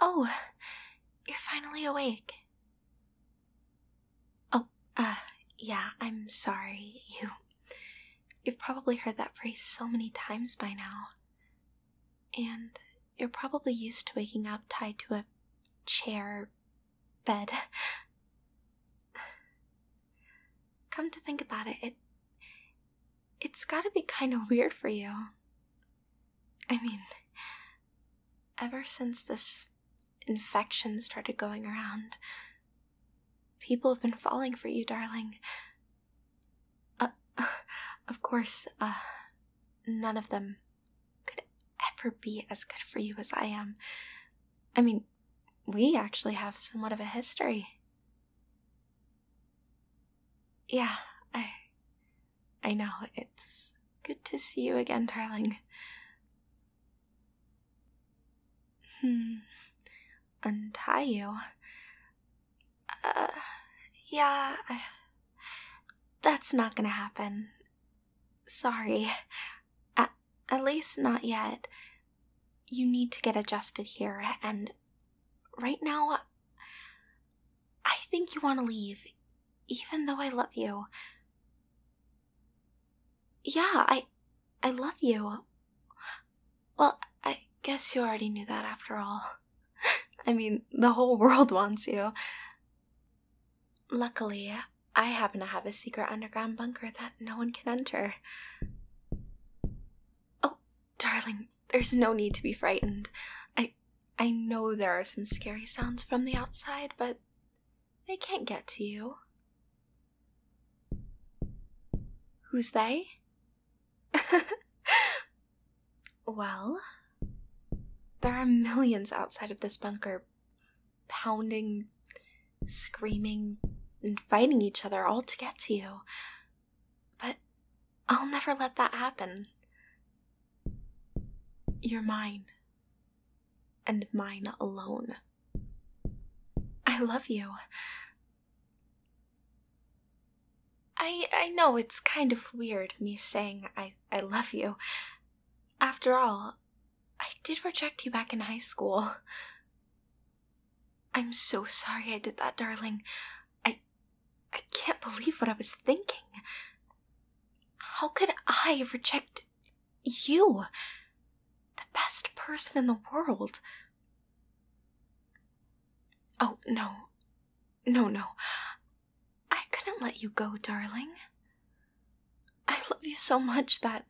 Oh, you're finally awake. Oh, uh, yeah, I'm sorry. You. You've probably heard that phrase so many times by now. And you're probably used to waking up tied to a chair, bed. Come to think about it, it it's got to be kind of weird for you. I mean, ever since this infection started going around, people have been falling for you, darling. Uh, of course, uh, none of them could ever be as good for you as I am. I mean, we actually have somewhat of a history. Yeah, I I know. It's good to see you again, darling. Hmm. Untie you. Uh, yeah, that's not gonna happen. Sorry. At, least not yet. You need to get adjusted here, and right now, I think you want to leave, even though I love you. Yeah, I, I love you. Well, I guess you already knew that after all. I mean, the whole world wants you. Luckily, I happen to have a secret underground bunker that no one can enter. Oh, darling, there's no need to be frightened. I I know there are some scary sounds from the outside, but they can't get to you. Who's they? well, there are millions outside of this bunker pounding screaming and fighting each other all to get to you. But I'll never let that happen. You're mine, and mine alone. I love you. I I know it's kind of weird me saying I I love you. After all, I did reject you back in high school. I'm so sorry I did that, darling. I I can't believe what I was thinking. How could I reject you? The best person in the world. Oh, no. No, no. I couldn't let you go, darling. I love you so much that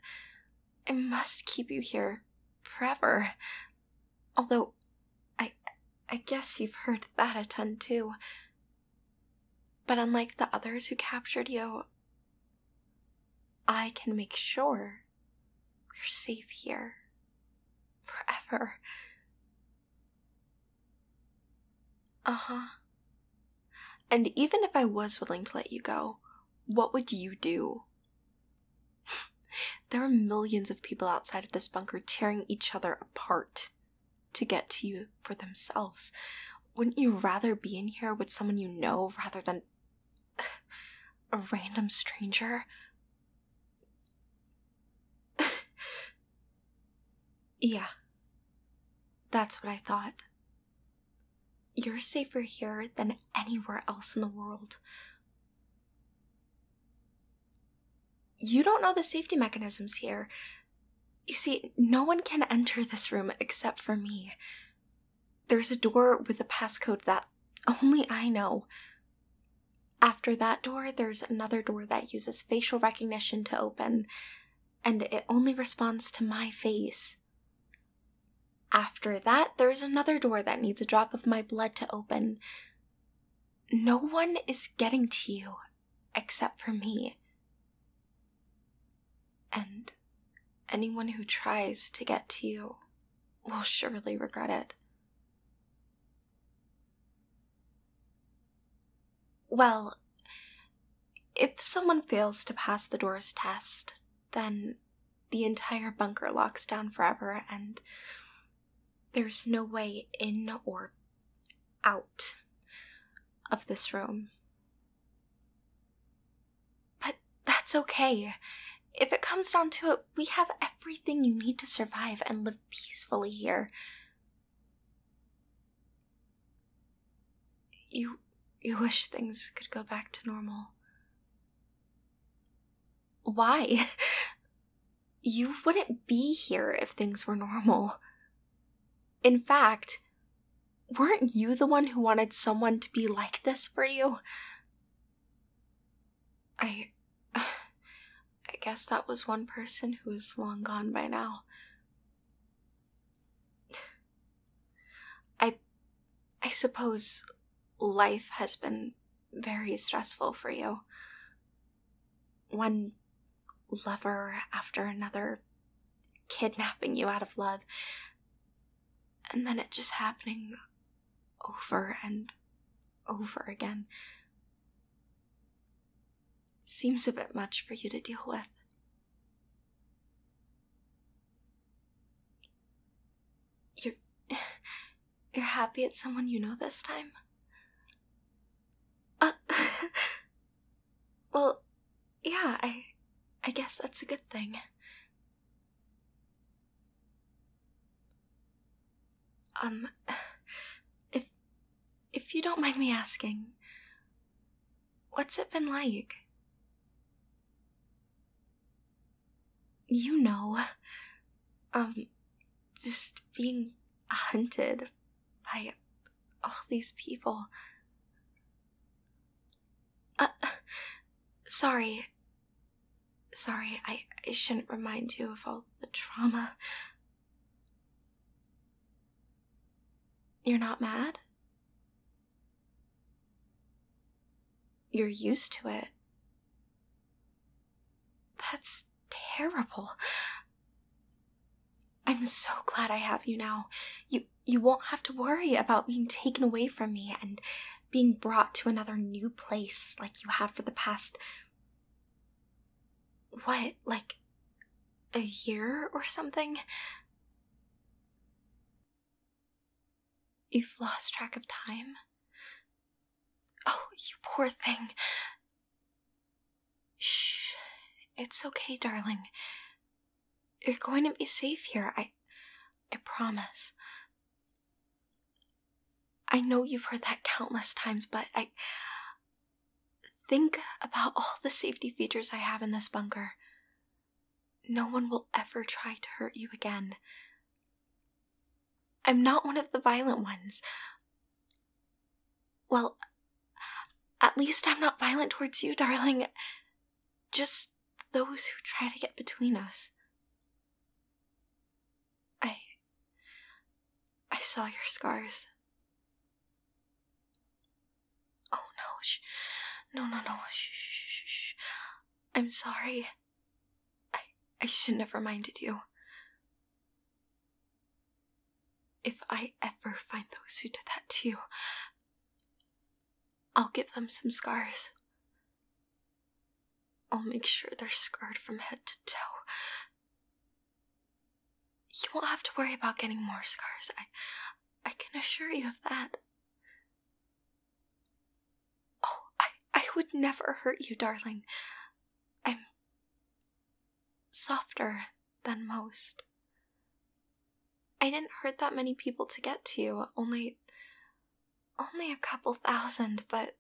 I must keep you here forever. Although, I, I guess you've heard that a ton too. But unlike the others who captured you, I can make sure we're safe here forever. Uh huh. And even if I was willing to let you go, what would you do? there are millions of people outside of this bunker tearing each other apart to get to you for themselves. Wouldn't you rather be in here with someone you know rather than a random stranger? yeah, that's what I thought. You're safer here than anywhere else in the world. You don't know the safety mechanisms here. You see, no one can enter this room except for me. There's a door with a passcode that only I know. After that door, there's another door that uses facial recognition to open, and it only responds to my face. After that, there's another door that needs a drop of my blood to open. No one is getting to you except for me. And anyone who tries to get to you will surely regret it. Well, if someone fails to pass the door's test, then the entire bunker locks down forever and there's no way in or out of this room. But that's okay. If it comes down to it, we have everything you need to survive and live peacefully here. You. you wish things could go back to normal. Why? You wouldn't be here if things were normal. In fact, weren't you the one who wanted someone to be like this for you? I. I guess that was one person who is long gone by now. I I suppose life has been very stressful for you. One lover after another kidnapping you out of love, and then it just happening over and over again. Seems a bit much for you to deal with. You're. You're happy it's someone you know this time? Uh. well, yeah, I. I guess that's a good thing. Um. If. If you don't mind me asking, What's it been like? You know, um, just being hunted by all these people. Uh, sorry. Sorry, I, I shouldn't remind you of all the trauma. You're not mad? You're used to it. That's terrible. I'm so glad I have you now. You you won't have to worry about being taken away from me and being brought to another new place like you have for the past what, like a year or something? You've lost track of time? Oh, you poor thing. Shh. It's okay, darling. You're going to be safe here, I I promise. I know you've heard that countless times, but I think about all the safety features I have in this bunker. No one will ever try to hurt you again. I'm not one of the violent ones. Well, at least I'm not violent towards you, darling. Just those who try to get between us. I. I saw your scars. Oh no, no, no, no, shh, shh, shh. I'm sorry. I, I shouldn't have reminded you. If I ever find those who did that to you, I'll give them some scars. I'll make sure they're scarred from head to toe. You won't have to worry about getting more scars. I I can assure you of that. Oh, I, I would never hurt you, darling. I'm softer than most. I didn't hurt that many people to get to you, only. only a couple thousand, but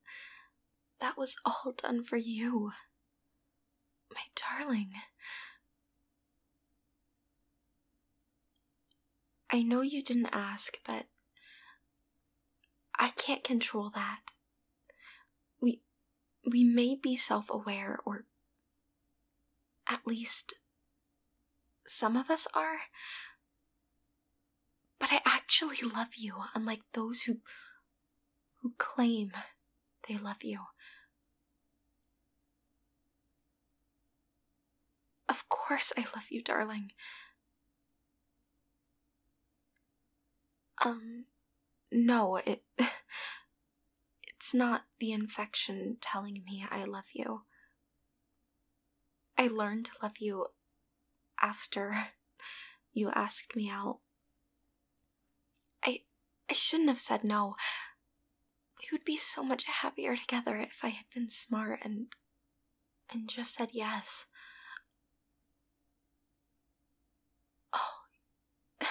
that was all done for you. My darling. I know you didn't ask, but I can't control that. We we may be self-aware or at least some of us are. But I actually love you, unlike those who who claim they love you. Of course I love you, darling. Um, no, it. It's not the infection telling me I love you. I learned to love you after you asked me out. I I shouldn't have said no. We would be so much happier together if I had been smart and. and just said yes. Oh. you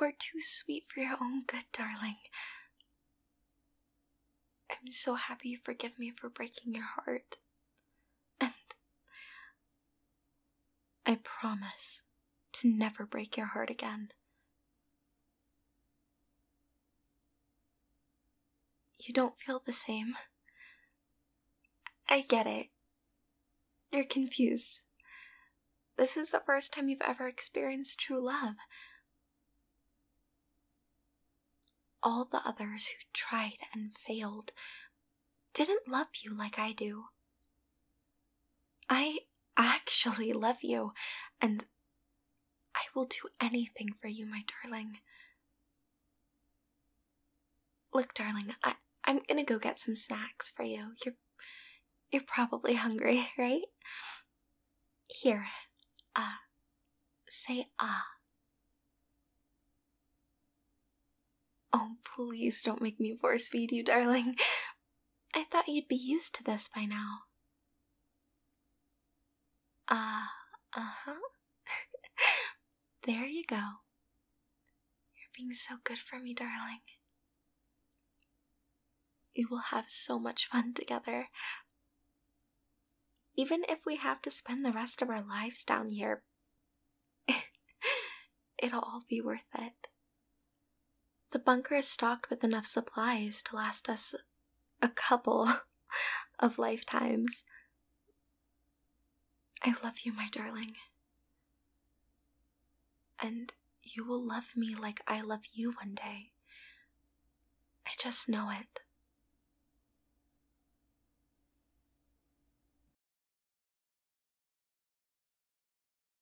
are too sweet for your own good, darling. I'm so happy you forgive me for breaking your heart. And. I promise to never break your heart again. You don't feel the same. I get it. You're confused. This is the first time you've ever experienced true love. All the others who tried and failed didn't love you like I do. I actually love you, and I will do anything for you, my darling. Look, darling, I, am gonna go get some snacks for you. You're you're probably hungry, right? Here, ah, uh, say ah. Oh, please don't make me force feed you, darling. I thought you'd be used to this by now. Ah, uh, huh. there you go. You're being so good for me, darling. We will have so much fun together. Even if we have to spend the rest of our lives down here, it'll all be worth it. The bunker is stocked with enough supplies to last us a couple of lifetimes. I love you, my darling. And you will love me like I love you one day. I just know it.